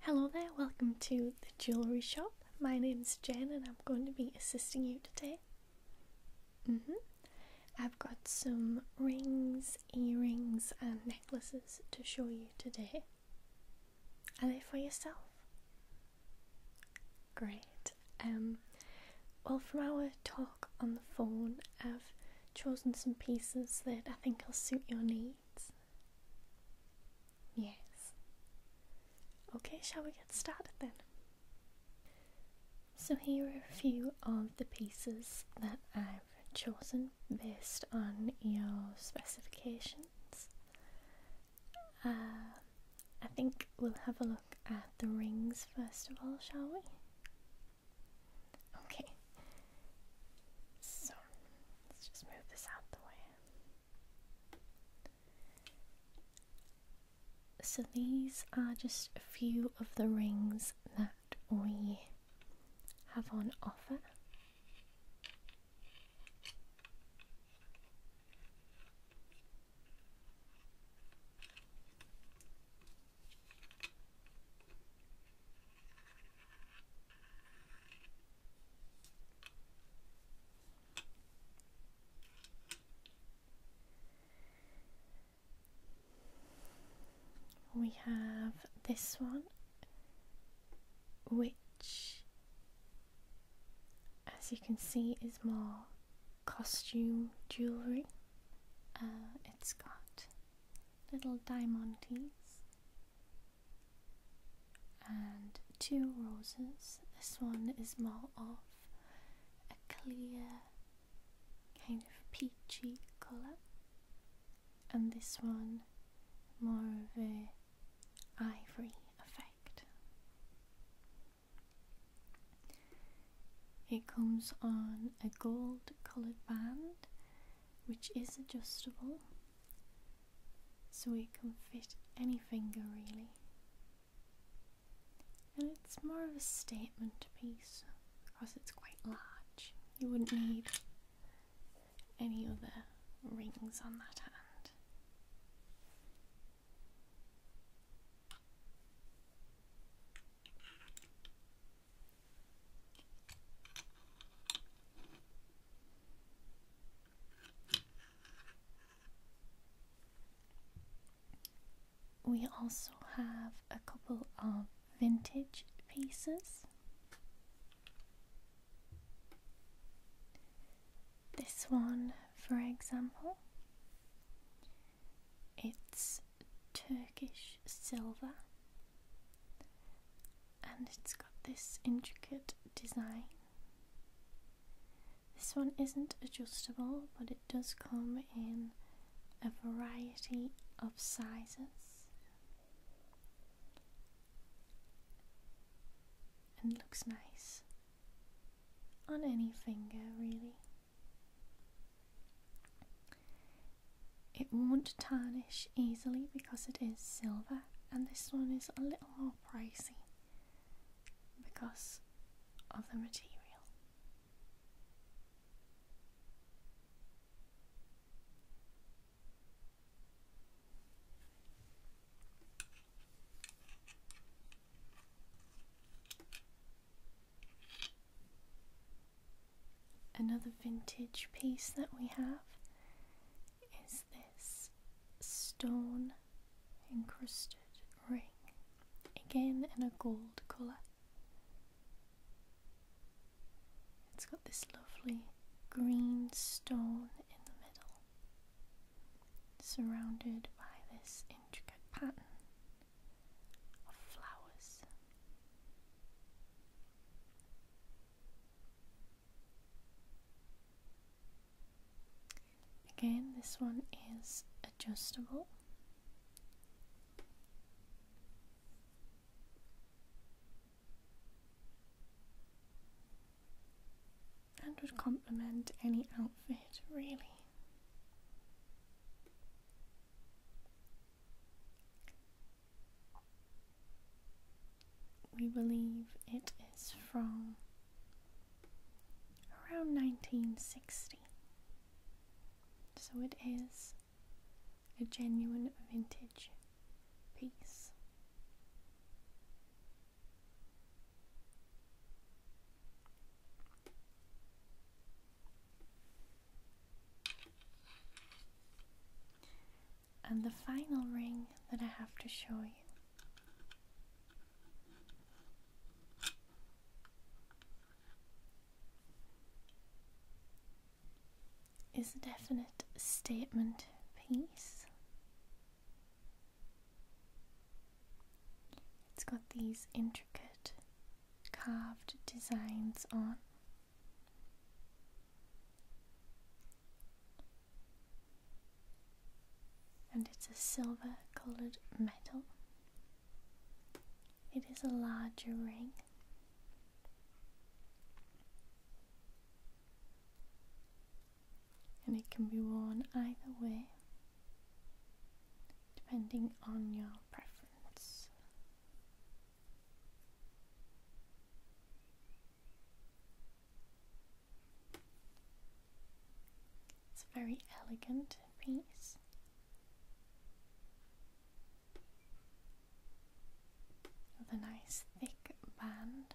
Hello there, welcome to the jewellery shop. My name is Jen and I'm going to be assisting you today. hmm I've got some rings, earrings, and necklaces to show you today. Are they for yourself? Great. Um, well, from our talk on the phone, I've chosen some pieces that I think will suit your needs. Yes. Okay, shall we get started then? So, here are a few of the pieces that I've chosen based on your specifications. Uh, I think we'll have a look at the rings first of all, shall we? Okay. So, let's just move this out the way. So, these are just a few of the rings that we have on offer. We have this one, which, as you can see, is more costume jewelry. Uh, it's got little diamantes and two roses. This one is more of a clear, kind of peachy colour, and this one more of a ivory effect. It comes on a gold coloured band which is adjustable so it can fit any finger really. And it's more of a statement piece because it's quite large. You wouldn't need any other rings on that hand. We also have a couple of vintage pieces. This one, for example, it's Turkish silver and it's got this intricate design. This one isn't adjustable, but it does come in a variety of sizes and looks nice on any finger, really. It won't tarnish easily because it is silver, and this one is a little more pricey because of the material. Another vintage piece that we have is this stone encrusted ring, again in a gold colour. It's got this lovely green stone in the middle, surrounded by this intricate pattern flowers. Again, this one is adjustable. And would complement any outfit, really. We believe it is from around 1960. So it is a genuine vintage piece. And the final ring that I have to show you. Is a definite statement piece. It's got these intricate carved designs on. And it's a silver colored metal. It is a larger ring. And it can be worn either way depending on your preference. It's a very elegant piece. With a nice thick band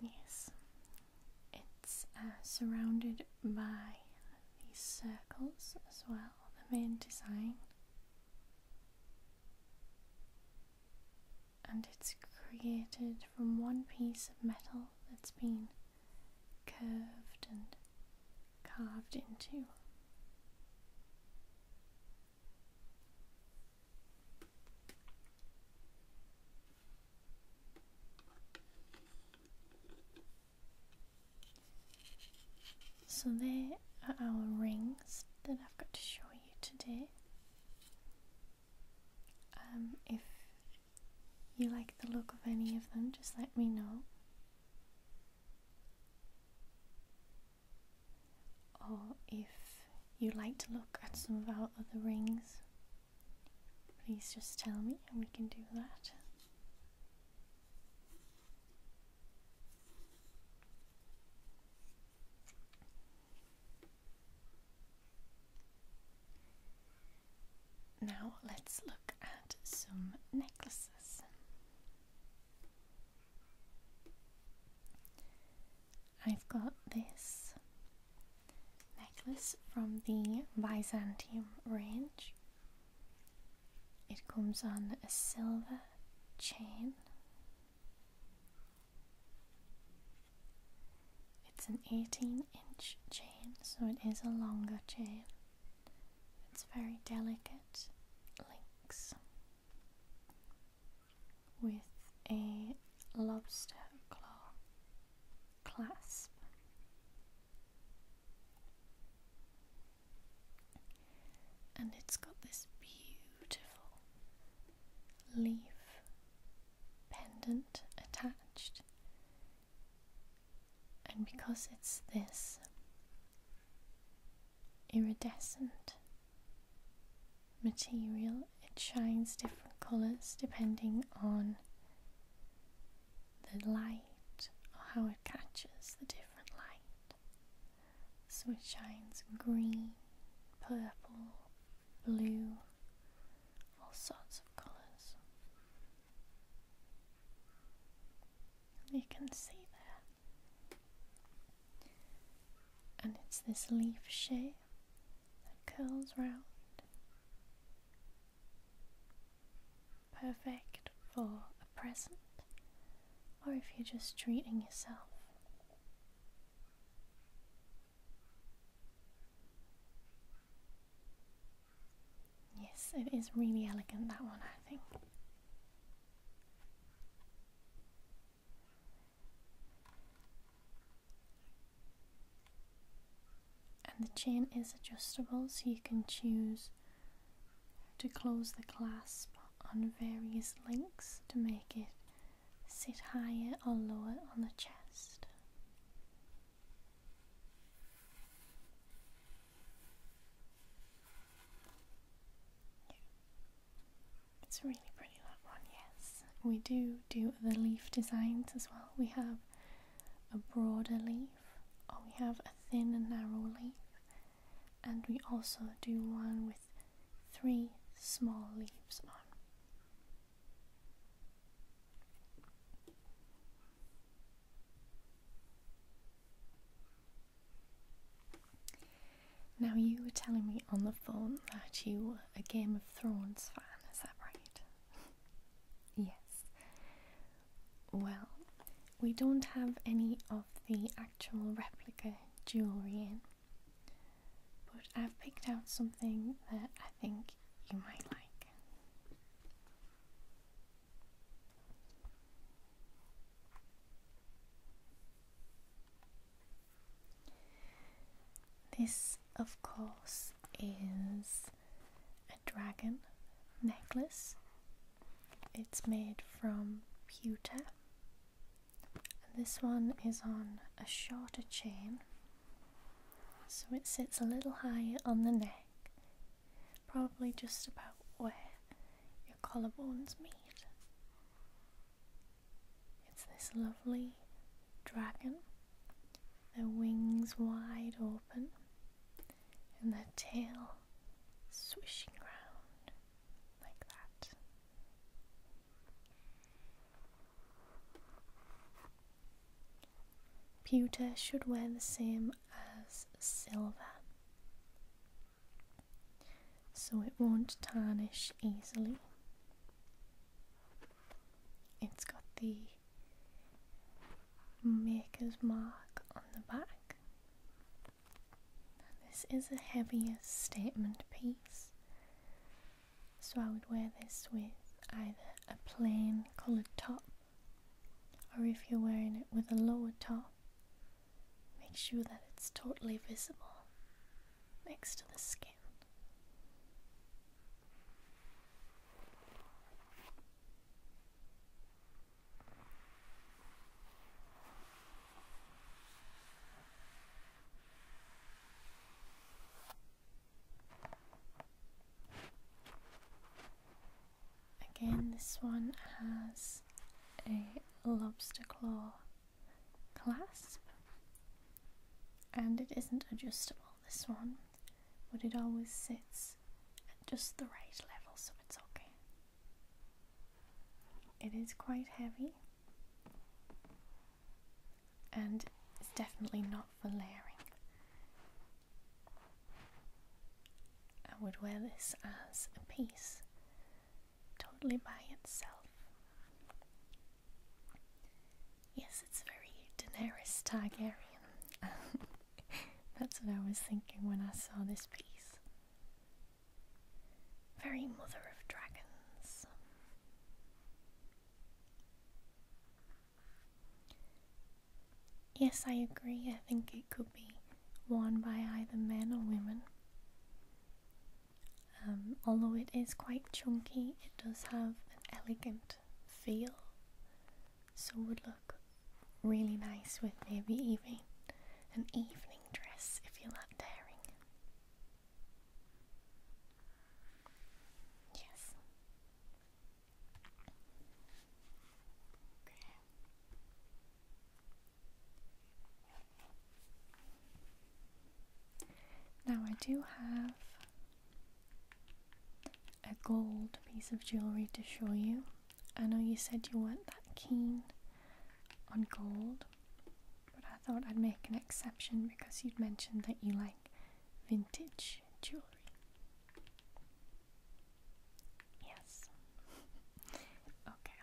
Yes, it's uh, surrounded by these circles as well, the main design, and it's created from one piece of metal that's been curved and carved into. So there are our rings that I've got to show you today. Um, if you like the look of any of them, just let me know. Or if you would like to look at some of our other rings, please just tell me and we can do that. Now let's look at some necklaces. I've got this necklace from the Byzantium range. It comes on a silver chain. It's an 18 inch chain, so it is a longer chain. It's very delicate links with a lobster claw clasp. And it's got this beautiful leaf pendant attached. And because it's this iridescent material, it shines different colors depending on the light or how it catches the different light. So it shines green, purple, blue, all sorts of colours. You can see there. And it's this leaf shape that curls round. Perfect for a present or if you're just treating yourself. Yes, it is really elegant that one, I think. And the chain is adjustable, so you can choose to close the clasp on various links to make it sit higher or lower on the chest. It's really pretty that one, yes. We do do the leaf designs as well. We have a broader leaf, or we have a thin and narrow leaf, and we also do one with three small leaves on. Now, you were telling me on the phone that you were a Game of Thrones fan, is that right? yes. Well, we don't have any of the actual replica jewellery in, but I've picked out something that think you might like. This, of course, is a dragon necklace. It's made from pewter. And this one is on a shorter chain so it sits a little higher on the neck, probably just about where your collarbones meet. It's this lovely dragon, the wings wide open, and the tail swishing around like that. Pewter should wear the same as silver, so it won't tarnish easily. It's got the maker's mark on the back. This is a heavier statement piece, so I would wear this with either a plain coloured top or if you're wearing it with a lower top, make sure that it's totally visible next to the skin. Again, this one has a lobster claw clasp and it isn't adjustable. This one, but it always sits at just the right level, so it's okay. It is quite heavy and it's definitely not for layering. I would wear this as a piece totally by itself. Yes, it's very Daenerys Targaryen. That's what I was thinking when I saw this piece. Very Mother of Dragons. Yes, I agree. I think it could be worn by either men or women. Um, although it is quite chunky, it does have an elegant feel, so would look really nice with maybe even an evening dress if you're that daring. Yes. Okay. Now I do have a gold piece of jewelry to show you. I know you said you weren't that keen on gold, but I thought I'd make an exception because you'd mentioned that you like vintage jewelry. Yes. okay.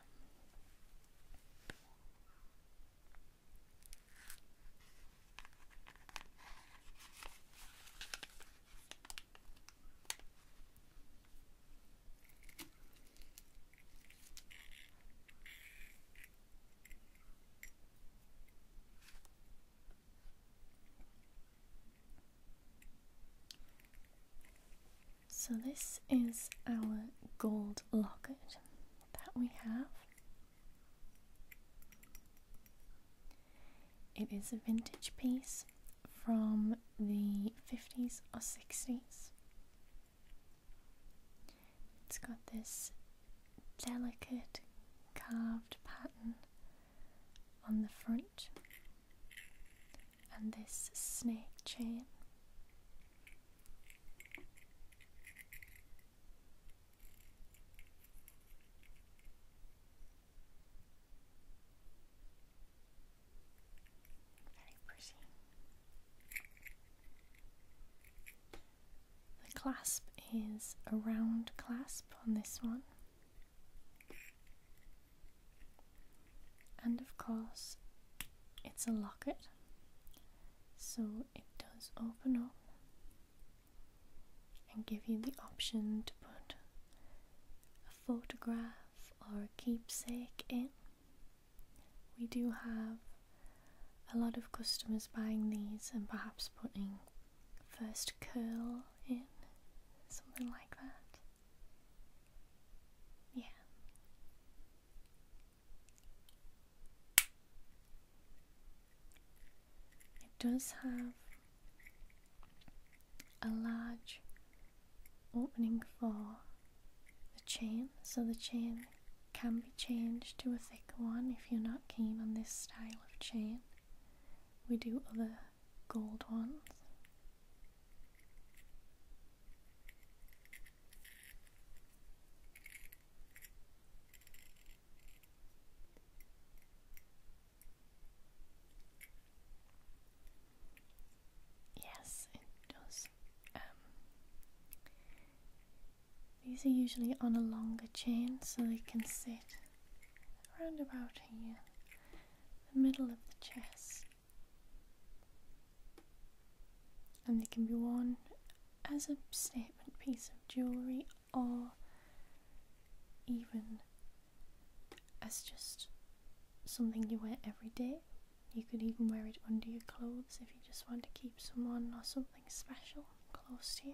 So, this is our gold locket that we have. It is a vintage piece from the 50s or 60s. It's got this delicate carved pattern on the front and this snake chain. Very pretty. The clasp is a round clasp on this one. And of course, it's a locket, so it does open up and give you the option to put a photograph or a keepsake in. We do have a lot of customers buying these and perhaps putting first curl in, something like that. Yeah. It does have a large opening for the chain, so the chain can be changed to a thicker one if you're not keen on this style of chain. We do other gold ones. Yes, it does. Um, these are usually on a longer chain so they can sit around about here, the middle of the chest. And they can be worn as a statement piece of jewellery or even as just something you wear every day. You could even wear it under your clothes if you just want to keep someone or something special close to you.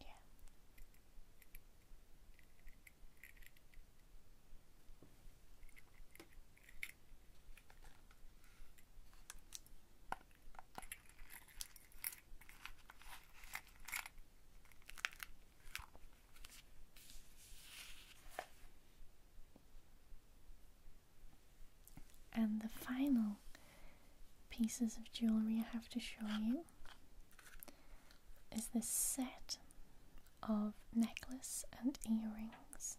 Yeah. And the final pieces of jewelry I have to show you is this set of necklace and earrings.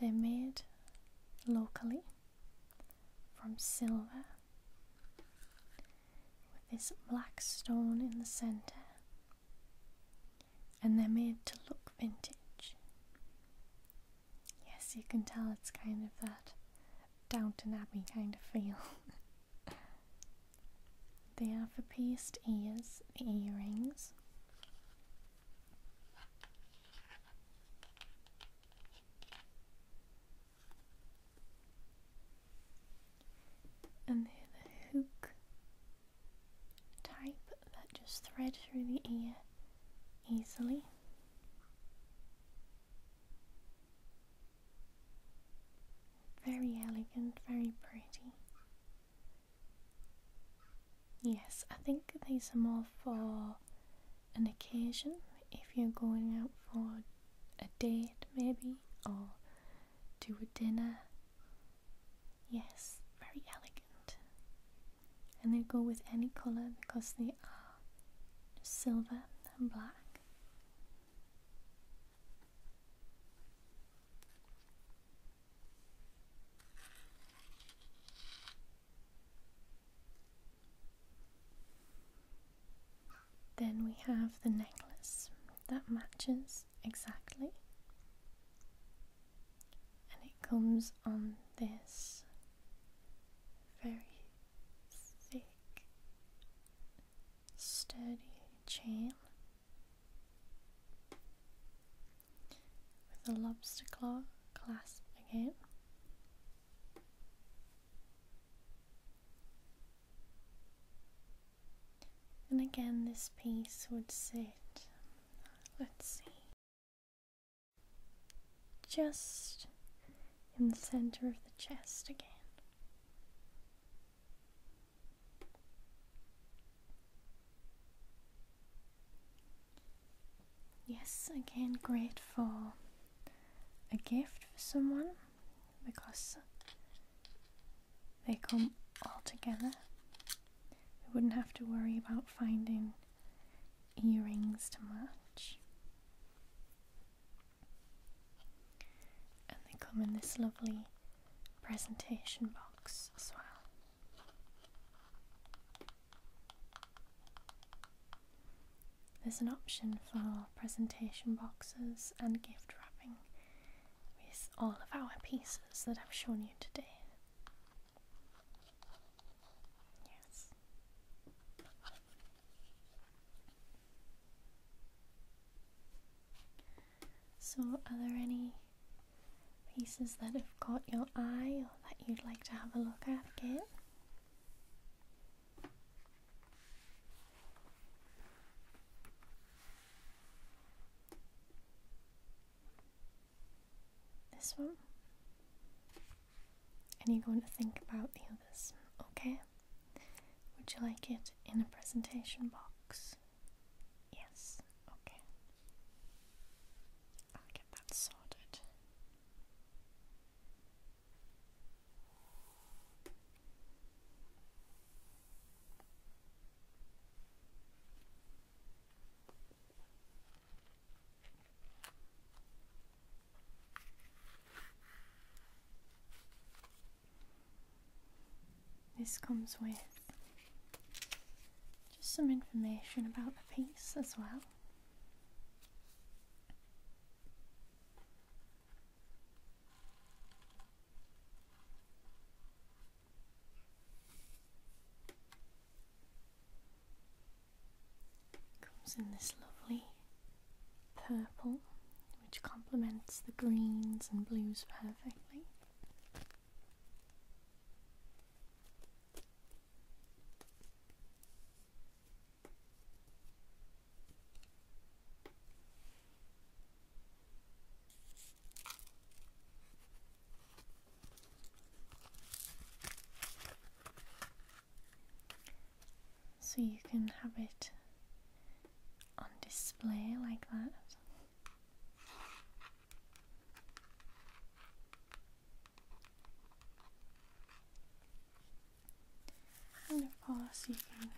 They're made locally from silver with this black stone in the center and they're made to look vintage. Yes, you can tell it's kind of that Downton Abbey kind of feel. they are for pierced ears, earrings. And the hook type that just thread through the ear easily. Very elegant, very pretty. Yes, I think these are more for an occasion if you're going out for a date, maybe, or to a dinner. Yes, very elegant and they go with any color because they are silver and black. Then we have the necklace that matches exactly and it comes on this very thick, sturdy chain with a lobster claw clasp again. And again, this piece would sit, let's see, just in the center of the chest again. Yes, again, great for a gift for someone because they come all together we wouldn't have to worry about finding earrings to match. And they come in this lovely presentation box as well. There's an option for presentation boxes and gift wrapping with all of our pieces that I've shown you today. Yes. So, are there any pieces that have caught your eye or that you'd like to have a look at again? This one. And you're going to think about the others, okay? Would you like it in a presentation box? Yes, okay. I'll get that sorted. This comes with just some information about the piece as well. Comes in this lovely purple, which complements the greens and blues perfectly. So you can have it on display like that. And of course, you can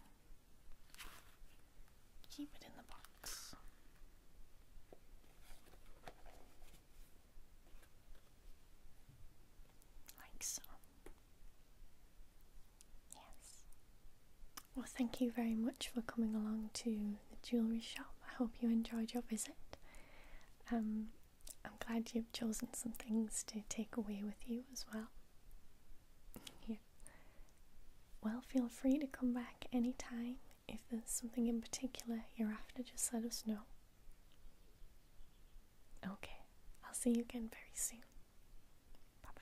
keep it in the box box. Like Yes. Well, thank you very much for coming along to the jewellery shop. I hope you enjoyed your visit. Um, I'm glad you've chosen some things to take away with you as well. Yeah. Well, feel free to come back anytime if there's something in particular you're after, just let us know. Okay, I'll see you again very soon. Bye bye.